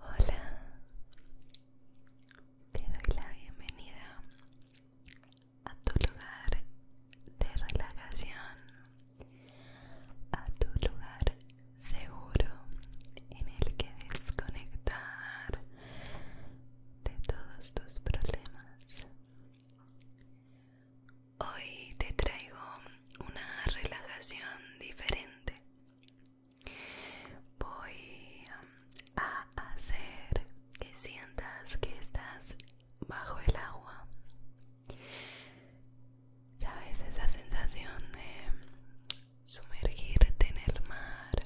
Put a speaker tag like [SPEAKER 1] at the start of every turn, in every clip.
[SPEAKER 1] Hola, te doy la bienvenida a tu lugar de relajación a tu lugar seguro en el que desconectar de todos tus problemas. Hoy te traigo una relajación diferente. Voy a hacer que sientas que estás bajo el agua ¿Sabes esa sensación de sumergirte en el mar,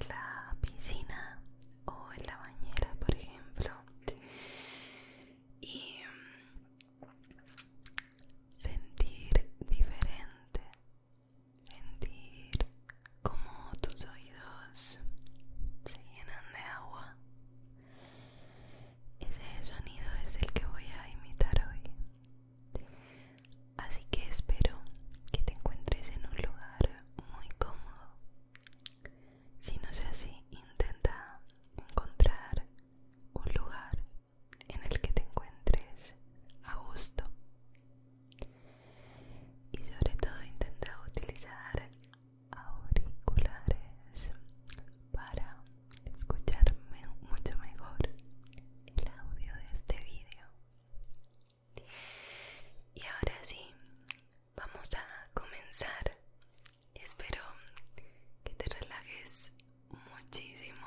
[SPEAKER 1] en la piscina o en la bañera, por ejemplo? Y sentir diferente, sentir como tus oídos se llenan de agua ese sonido es el que voy a imitar hoy. Así que espero que te encuentres en un lugar muy cómodo. Si no es así, intenta encontrar un lugar en el que te encuentres a gusto. Y sobre todo intenta utilizar auriculares para escucharme mucho mejor el audio de este vídeo y ahora sí vamos a comenzar espero que te relajes muchísimo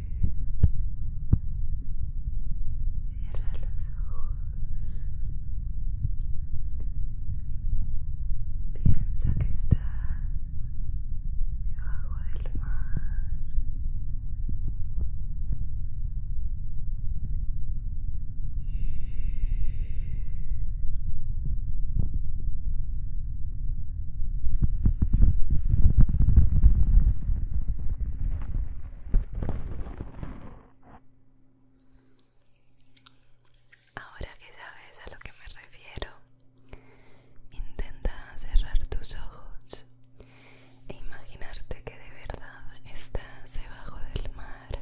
[SPEAKER 1] Cierra los ojos. Piensa que estás debajo del mar. Ahora que sabes a lo que me refiero, intenta cerrar tus ojos e imaginarte que de verdad estás debajo del mar.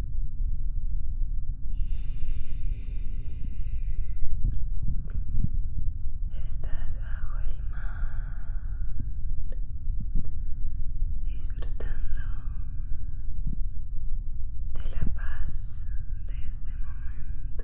[SPEAKER 1] Estás bajo el mar, disfrutando de la paz de este momento.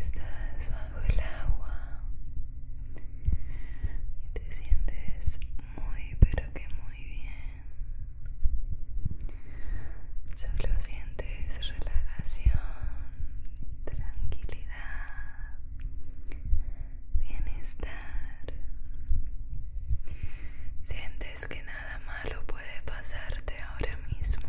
[SPEAKER 1] Estás bajo el agua y te sientes muy pero que muy bien solo sientes relajación tranquilidad bienestar sientes que nada malo puede pasarte ahora mismo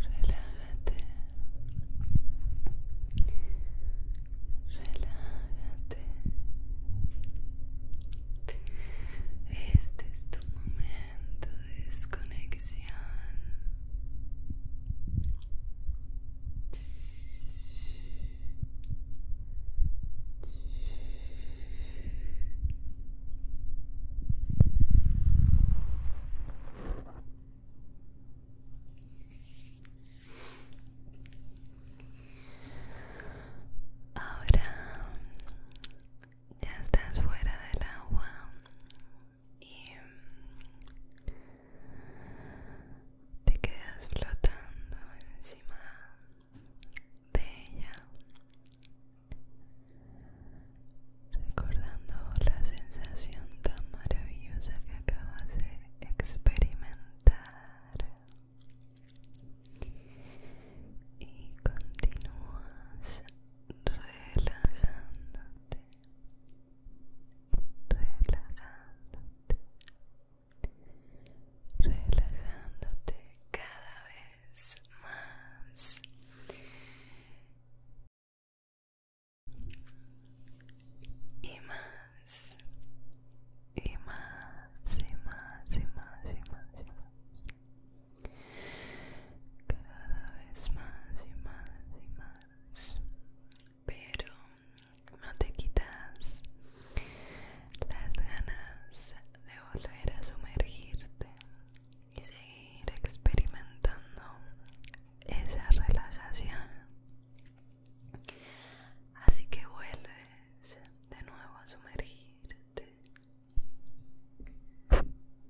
[SPEAKER 1] Relájate. Relájate. Este es tu momento. Entonces, desconexión. Ahora ya estás fuera del agua y mm, te quedas flotando encima de ella recordando la sensación tan maravillosa que acabas de experimentar y continúas relajándote, relajándote, relajándote cada vez más. Y más, y más, y más, y más, y más, y más cada vez más y más y más pero no te quitas las ganas de volver a sumergirte y seguir experimentando esa relajación así que vuelves de nuevo a sumergirte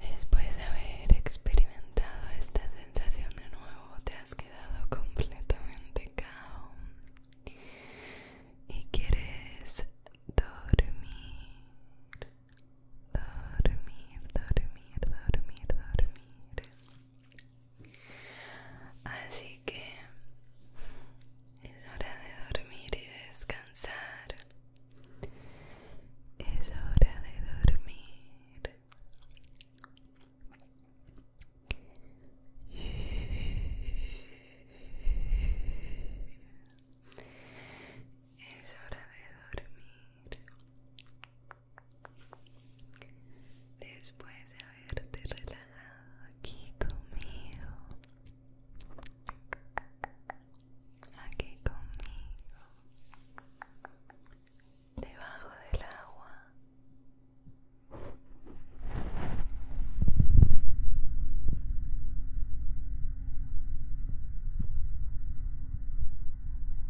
[SPEAKER 1] Después de haber experimentado esta sensación de nuevo, te has quedado completamente cao y quieres dormir. dormir, dormir, dormir, dormir. Así que es hora de dormir y descansar. Es hora de dormir. Es hora de dormir. Después de haberte relajado aquí conmigo, aquí conmigo, debajo del agua.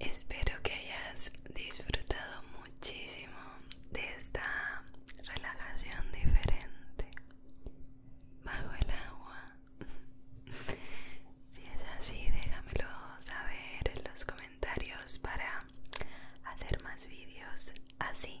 [SPEAKER 1] Espero que hayas disfrutado muchísimo de esta relajación diferente bajo el agua. Si es así, déjamelo saber en los comentarios para hacer más vídeos así.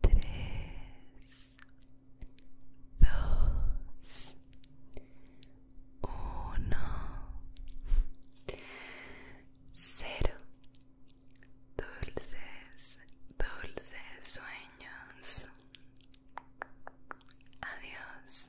[SPEAKER 1] tres, dos, uno, cero. Dulces, dulces sueños. Adiós.